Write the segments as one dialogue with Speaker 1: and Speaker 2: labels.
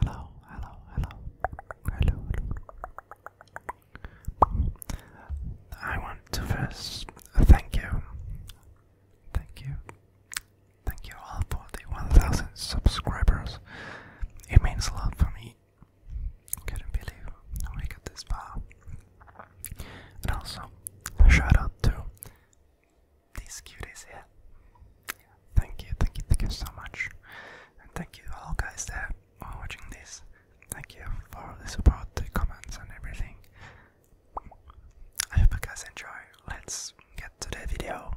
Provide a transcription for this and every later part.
Speaker 1: hello, hello, hello, hello, hello. I want to first thank you, thank you, thank you all for the 1,000 subscribers. It means a lot for me. Couldn't believe we got this far. And also, shout out to this cute here. Thank you, thank you, thank you so much. And thank you all guys that are watching this. Thank you for the support, the comments and everything. I hope you guys enjoy. Let's get to the video.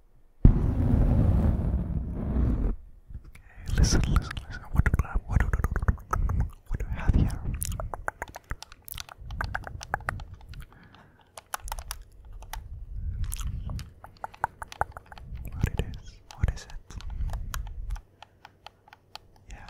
Speaker 1: Okay, listen, listen, listen. What do I, uh, what do, do, what do I have here? What it is? What is it? Yeah.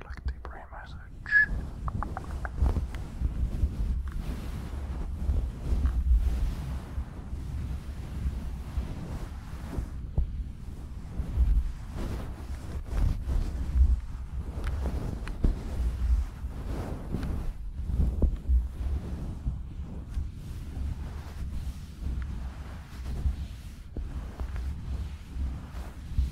Speaker 1: click the pre message. All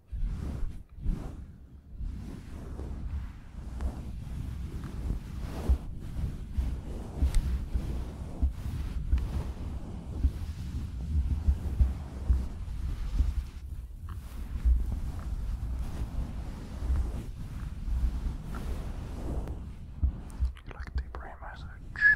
Speaker 1: You like the brain message?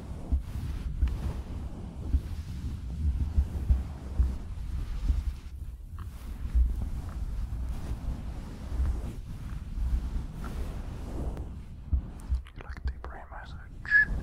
Speaker 2: You like the brain massage? Good.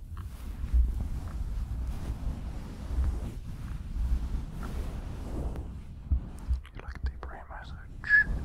Speaker 2: You like the brain massage? Good.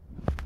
Speaker 2: Right there, yeah.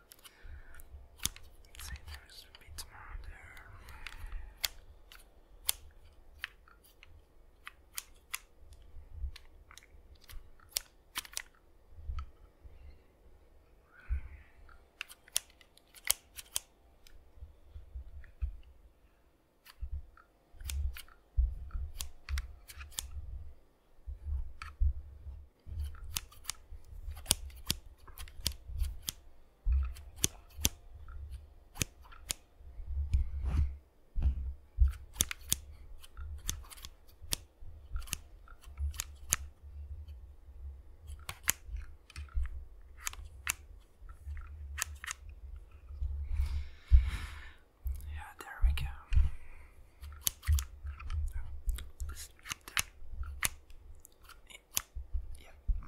Speaker 2: Let's see, there's a bit more there. Okay, yeah, there we go. Yeah. yeah oh,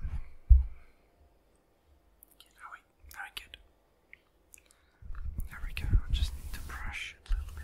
Speaker 2: we, now There we go, I just need to brush a little bit.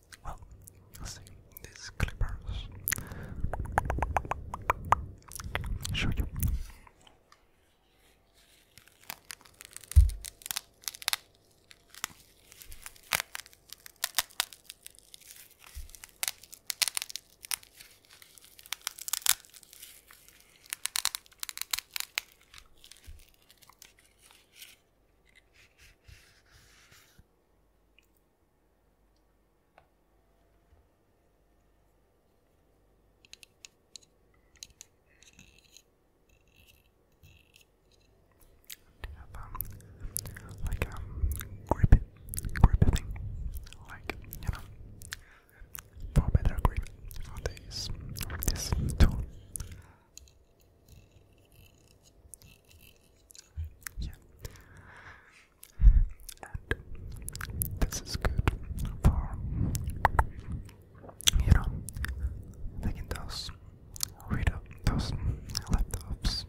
Speaker 2: Well, see these clippers. Show you have, like, um, grip, grip thing, like, you know, for better grip on this, this tool. Yeah. And this is good for you know taking those read those laptops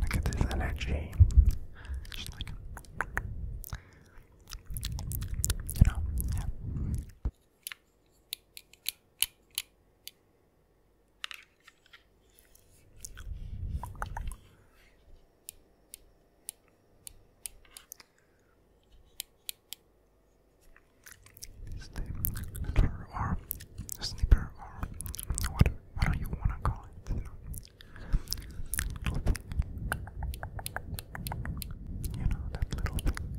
Speaker 2: Look at this energy. you know, Snipper or snipper or what what do you wanna call it? you know that little thing.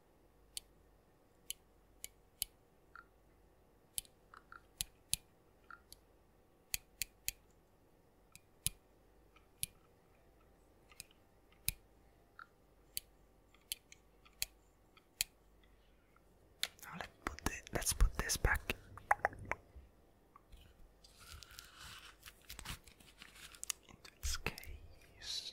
Speaker 2: Now let's put the, let's put this back. Into its case.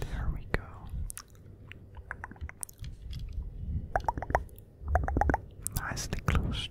Speaker 3: There we go. Nicely closed.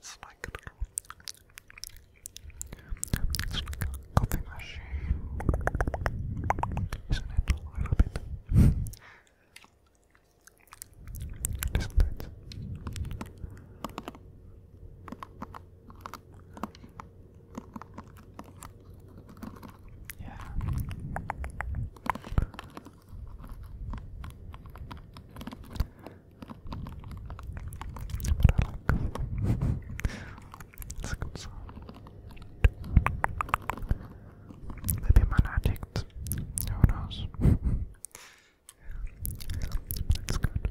Speaker 3: Snack coffee machine. Isn't it a little bit? Isn't it? Yeah.
Speaker 2: But I like it's good song. Maybe I'm an Who knows? That's good.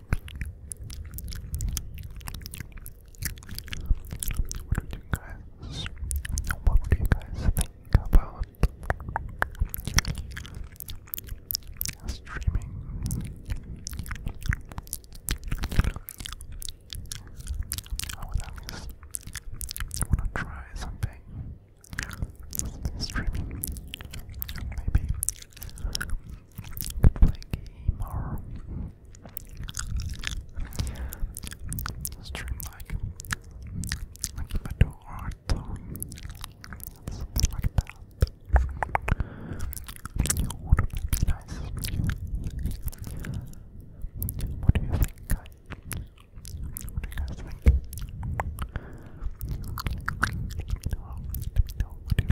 Speaker 2: What would you guys what would you guys think about streaming? I would at least wanna try something. Streaming maybe play game or stream like like if I do art something like that. You would be nice. What do you think guys? What do you guys think? Let me know, let me know what you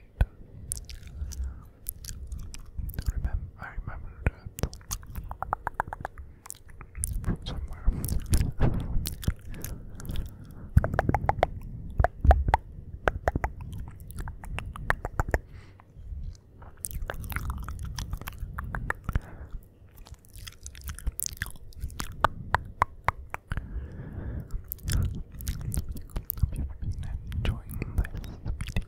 Speaker 2: Remember, I remember that from somewhere. Hope you have been enjoying this video. I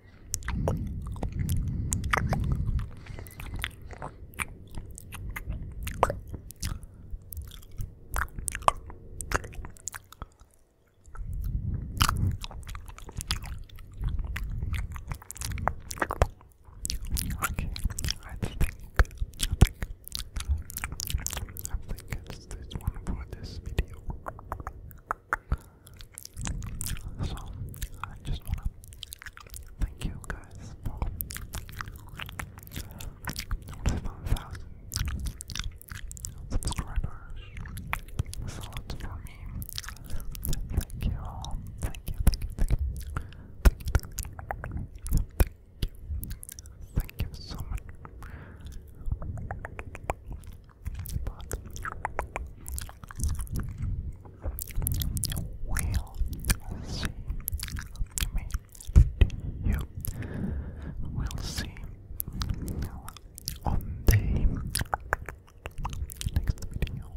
Speaker 2: Okay, I think, I think, I think it's this one for this video. So, I just want to thank you guys for 1,000 subscribers. That's a for me. Thank you all. thank you, thank you. Thank you, thank you. Thank you. Thank you so much we'll see. I will see on the next video.